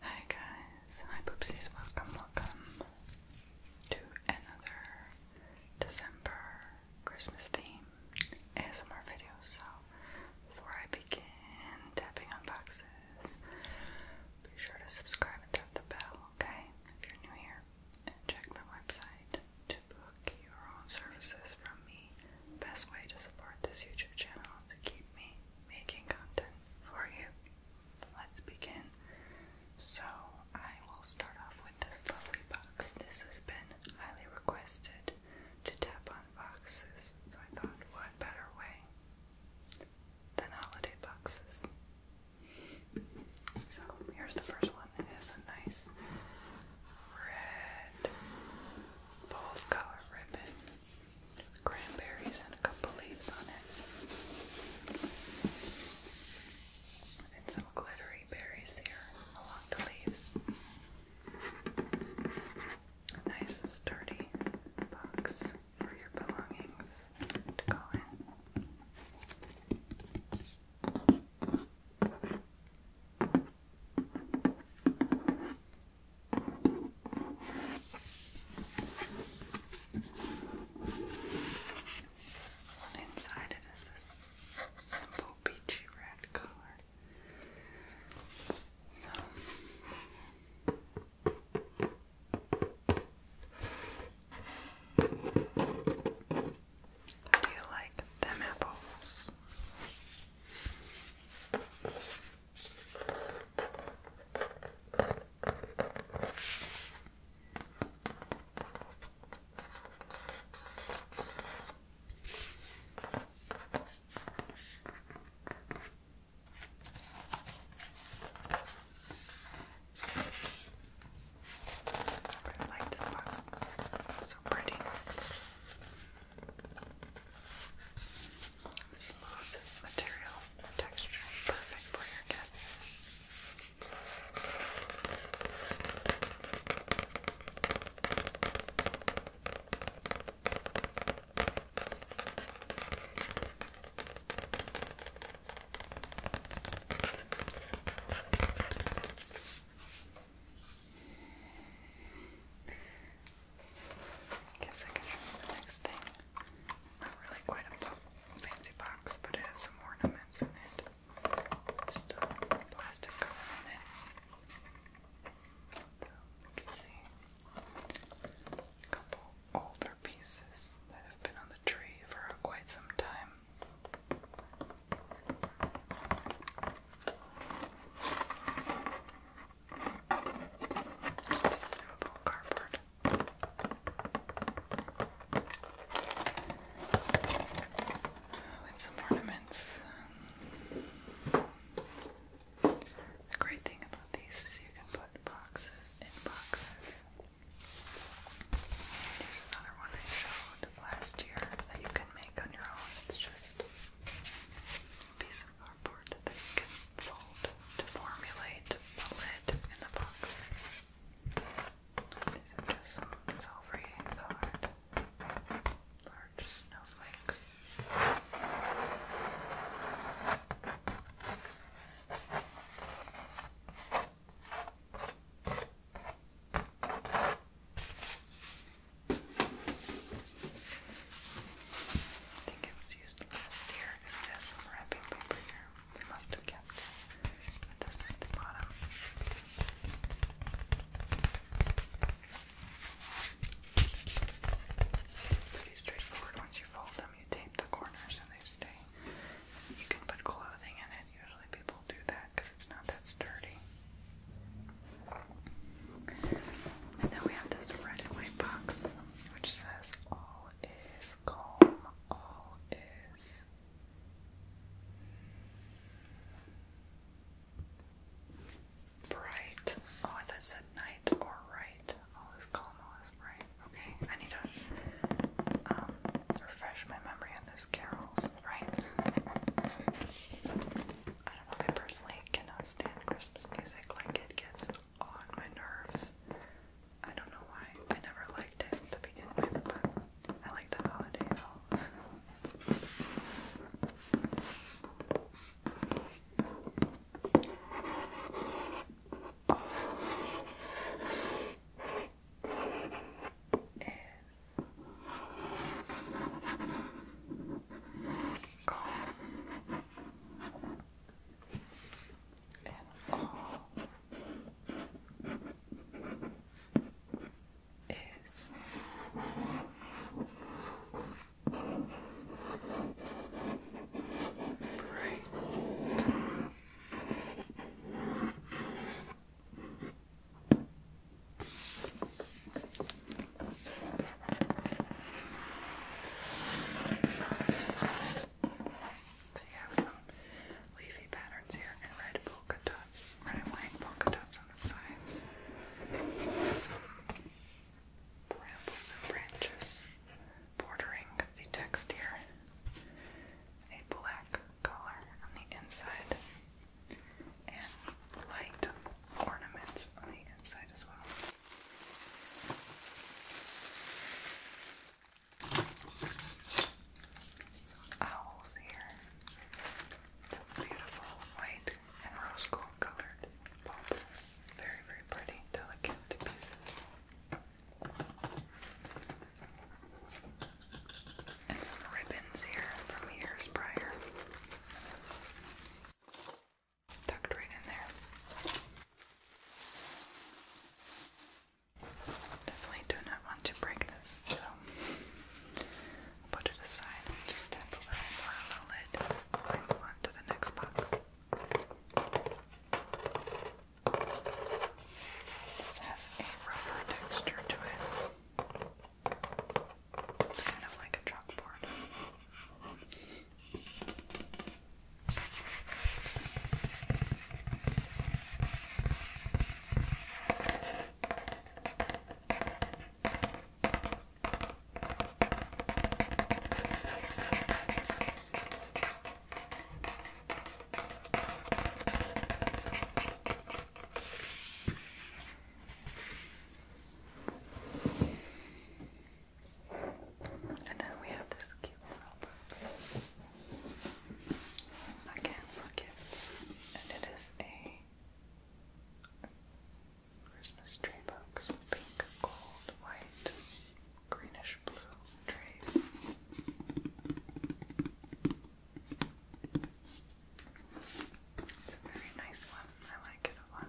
Hi guys, hi poopsies, welcome, welcome to another December Christmas theme ASMR video. So before I begin tapping on boxes, be sure to subscribe and tap the bell, okay? If you're new here, and check my website to book your own services from me. Best way to support this YouTube channel to keep me making content for you. Let's begin. So I will start off with this lovely box. This has been highly requested to tap on boxes, so I thought what better way than holiday boxes. So here's the first one. It a nice red bold color ribbon cranberries and a couple leaves on it. And some glittery berries here along the leaves. A nice sturdy box for your belongings to go in. And inside it is this simple peachy red color. So do you like them apples? I like this box. It's so pretty. Smooth material texture, perfect for your guests. I Guess I can show you the next thing. Not really quite a fancy box, but it has some ornaments in it. Just a plastic cover in it. So you can see a couple older pieces that have been on the tree for quite some time. Consumable cardboard. With some ornaments. The great thing about these is you can put boxes in boxes. Here's another one I showed last year that you can make on your own. It's just piece of cardboard that you can fold to formulate the lid in the box. These are just silvery colored large snowflakes. I think it was used last year because it has some wrapping paper here. We must have kept this is the bottom. pretty straightforward. Once you fold them, you tape the corners and they stay. You can put clothing in it. Usually people do that because it's not that sturdy. And then we have this red and white box which says all is calm, all is bright. Oh, I thought it said night or right. All is calm, all is bright. Okay, I need to um, refresh my memory on those carols, right? I don't know, I personally cannot stand Christmas music. Like, it gets on my nerves. I don't know why. I never liked it to begin with, but I like the holiday calm and all is bright. So have some leafy patterns here red polka dots, red and polka dots on the sides. Some brambles and branches bordering the text here. A black color on the inside and light ornaments on the inside as well. Some owls here. beautiful white and rose gold colored Very, very pretty, delicate pieces. And some ribbons here from years prior tucked right in there. Definitely do not want to break this, so put it aside just tap the lid on to the next box. This has a rubber texture to it. It's kind of like a chalkboard. And then we have this cute little box. Again for gifts. And it is a Christmas tree box with pink, gold, white, greenish blue trays. It's a very nice one. I like it a lot.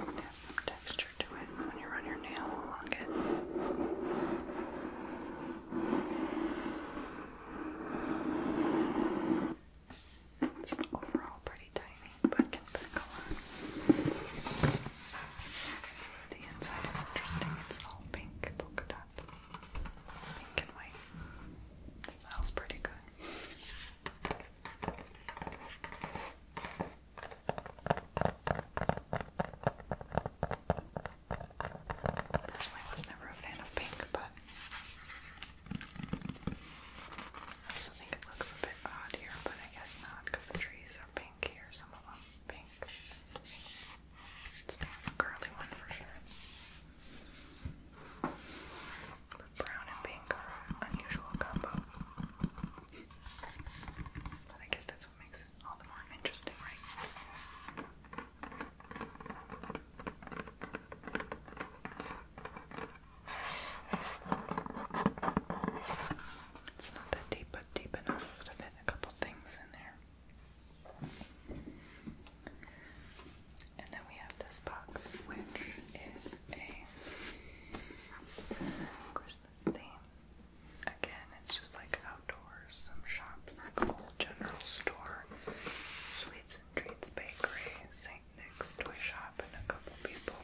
It has some texture to it when you run your nail along it. It's overall pretty tiny, but can pick a lot. The inside is interesting. It's all pink polka dot. Pink and white. Smells pretty good. Personally, I was never a fan of pink, but I also think it looks a bit odd here, but I guess not because the trees are pink here, some of them pink. It's more of a curly one for sure. brown and pink unusual combo. But I guess that's what makes it all the more interesting, right? It's not that deep, but deep enough to fit a couple things in there. And then we have this box, which is a Christmas theme. Again, it's just like outdoors, some shops, like a whole general store, sweets and treats bakery, St. Nick's toy shop, and a couple people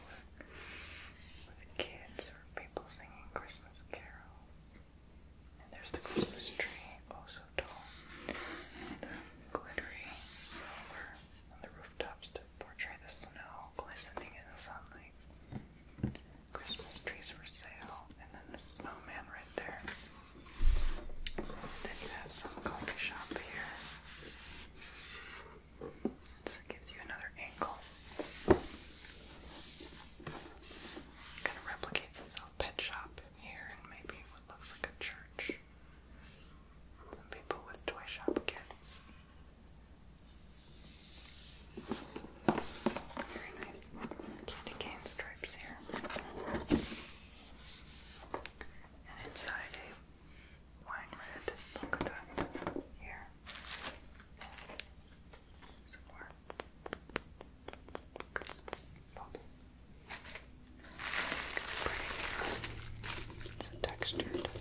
with kids or people singing Christmas carols there's the Christmas tree, oh so tall. And the glittery silver on the rooftops to portray the snow glistening in the sunlight. Christmas trees for sale, and then the snowman right there. then you have some coffee shop here. So it gives you another angle. Kind of replicates this pet shop here and maybe what looks like a church. Some people with toy shop kits. Very nice candy cane stripes here. And inside a wine red polka dot here. Some Christmas bubbles. It's so textured. It's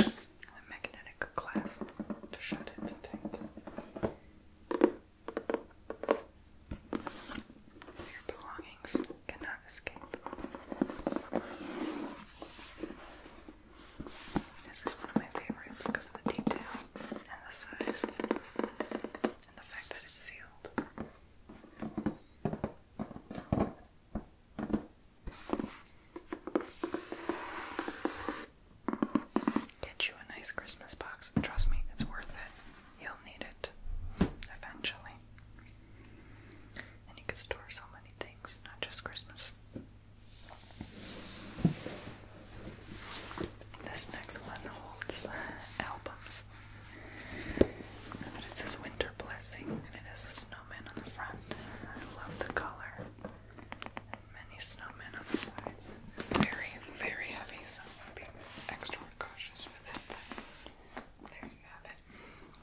a magnetic clasp to shut it tight. Your belongings cannot escape. This is one of my favorites because of the detail and the size and the fact that it's sealed. Get you a nice Christmas box. Trust me, it's worth it. You'll need it eventually. And you can store so many things, not just Christmas. This next one holds albums this. But it says Winter Blessing and it has a snowman on the front. I love the color. Many snowmen on the sides. It's very, very heavy, so I'm being extra cautious with it. there you have it.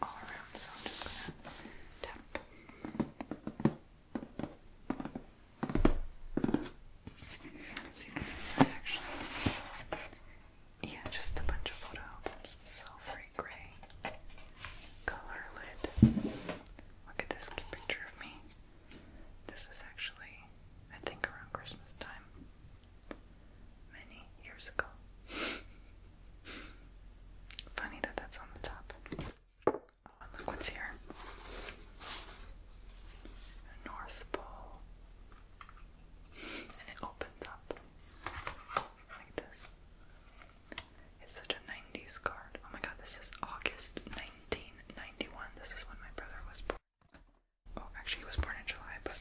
All around, so I'm just gonna tap. see what's inside actually yeah, just a bunch of photo albums. Silvery gray color Look at this picture of me. This is actually, I think, around Christmas time. Many years ago. Funny that that's on the top. Oh, and look what's here. North Pole. it opens up like this. It's such a 90s card. Oh my god, this is August 1991. This is when my brother was born. Oh, actually, he was born in July, but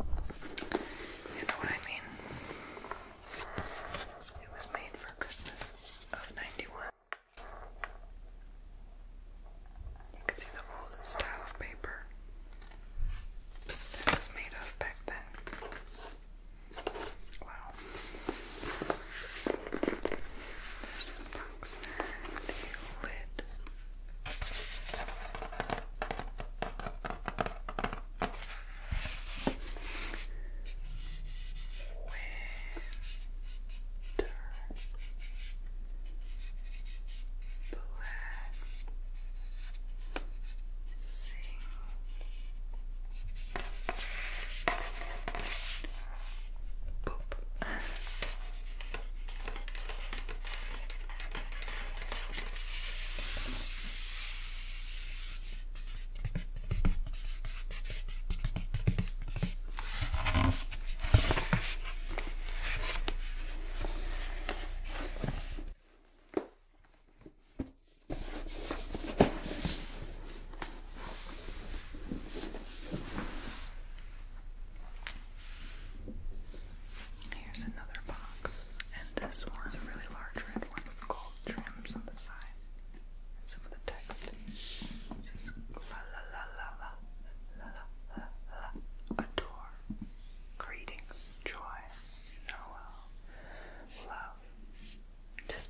you know what I mean? It was made for Christmas of 91. You can see the old style of paper that was made of back then. Wow. There's the box Winter Black sing. Boop. Here's another box, and this one's a really large red one with gold trims on the side. And some of the text says la la la la la la la la adore greetings joy know how. Um, love. Tis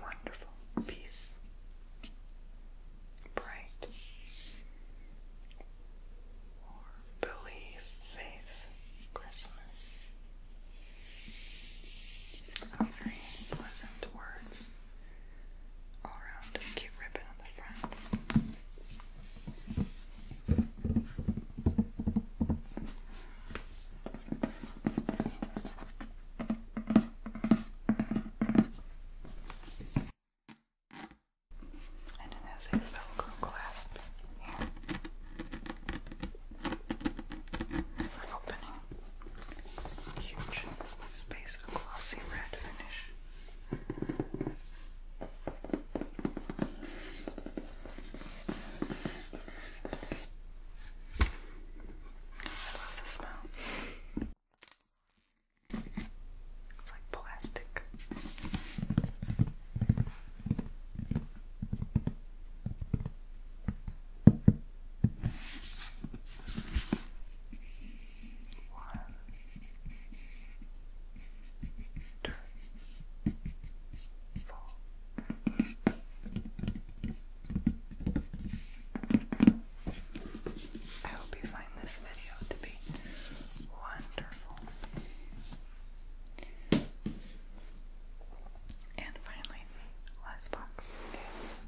Wonderful. Peace. Bright. Or believe, faith, Christmas. very pleasant words. All around cute ribbon on the front. And it has a velcro clasp here for opening. Huge space, glossy red finish. I love the smell. It's like plastic. One turn, I hope you find this video to be wonderful. And finally, last box is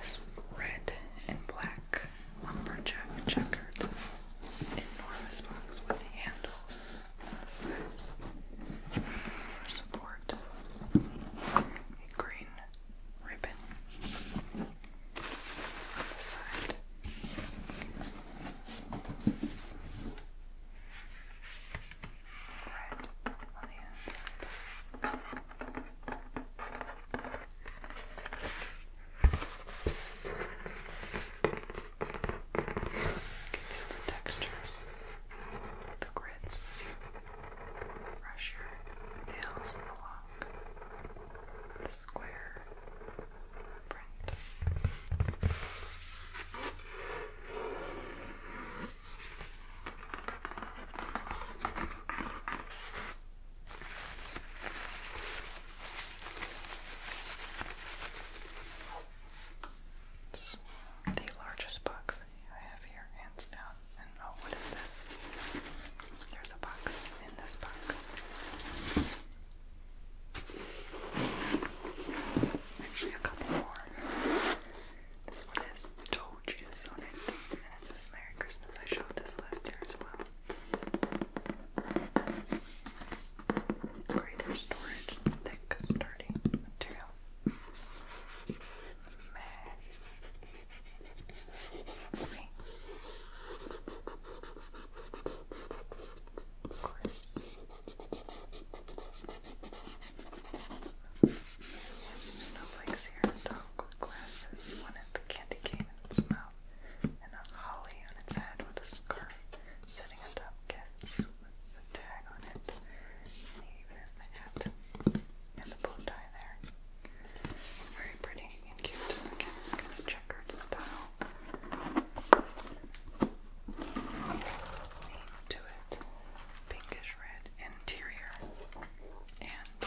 this red and black lumberjack checkered, enormous box with handles support, green ribbon on the side. Red on the inside feel the textures the grids as you brush your the square print the largest box I have here, hands down. And oh, what is this? There's a box in this box. Actually, a couple more. This one has toe on it. And it says Merry Christmas. I showed this last year as well. Greater storage, thick, sturdy material. May. Chris. Some snowflakes here, dog glasses, one at the candy cane, and itself, and a holly on its head with a scarf sitting atop gifts with the tag on it. And he even has the hat and the bow tie there. Very pretty and cute. Again, it's kind of checkered style. Theme to it. Pinkish red interior. And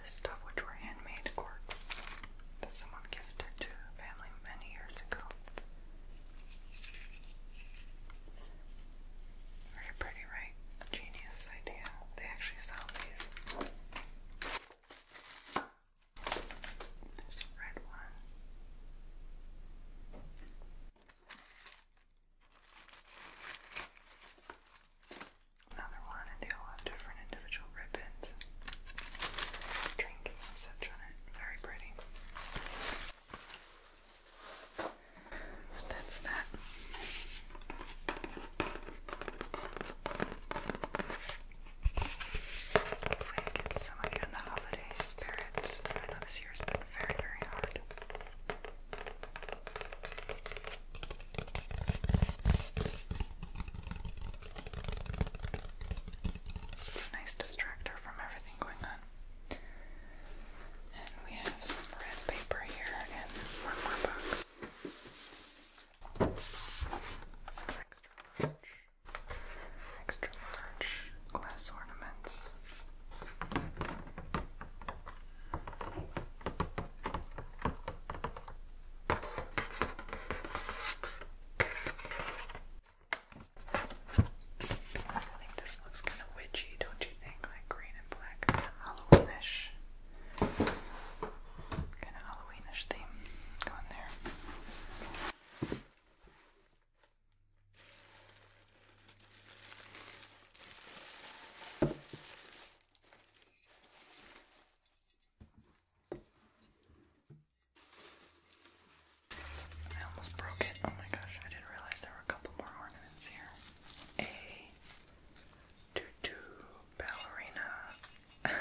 this stuff which were handmade corks that someone gifted to a family many years ago. Very pretty, right? genius idea. They actually sell these. There's a red one. Another one, and they all have different individual ribbons, trinkets, such on it. Very pretty. that's that. Hopefully, it gets some of you in the holiday spirit. I it's a nice distractor from everything going on. And we have some red paper here and one more box. Some extra large, extra large glass ornaments. I think this looks kind of witchy, don't you think? Like green and black, kind of Halloweenish, kind of Halloweenish theme going there. I almost broke it. Oh my gosh, I didn't realize there were a couple more ornaments here. A tutu ballerina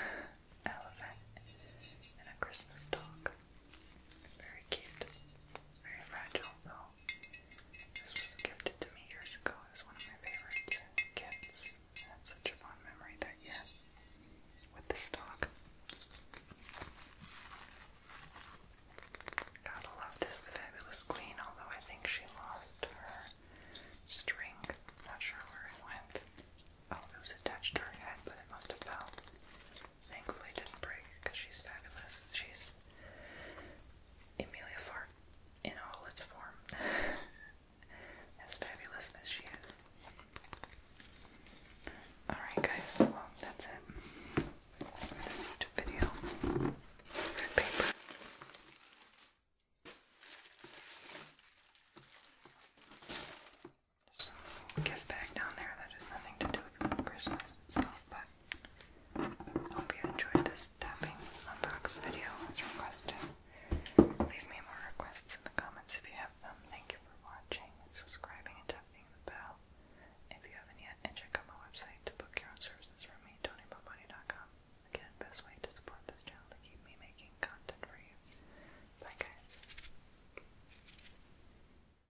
elephant and a Christmas dog. Very cute. Very fragile, though. This was gifted to me years ago. It one of my favorite kits. had such a fond memory that yeah, with this dog. Gotta love this fabulous queen, although I think she lost her string. Not sure where it went. Oh, it was attached to her head, but it must have fell. Thankfully, didn't break because she's fabulous. She's Emilia Fart in all its form, as fabulous as she is. Alright, guys, well, that's it this YouTube video. Use paper. There's some gift bag down there that has nothing to do with Christmas but hope you enjoyed this tapping unbox video as requested. Leave me more requests in the comments if you have them. Thank you for watching, subscribing, and tapping the bell. If you haven't yet, and check out my website to book your own services from me, TonyBoboni.com. Again, best way to support this channel to keep me making content for you. Bye guys.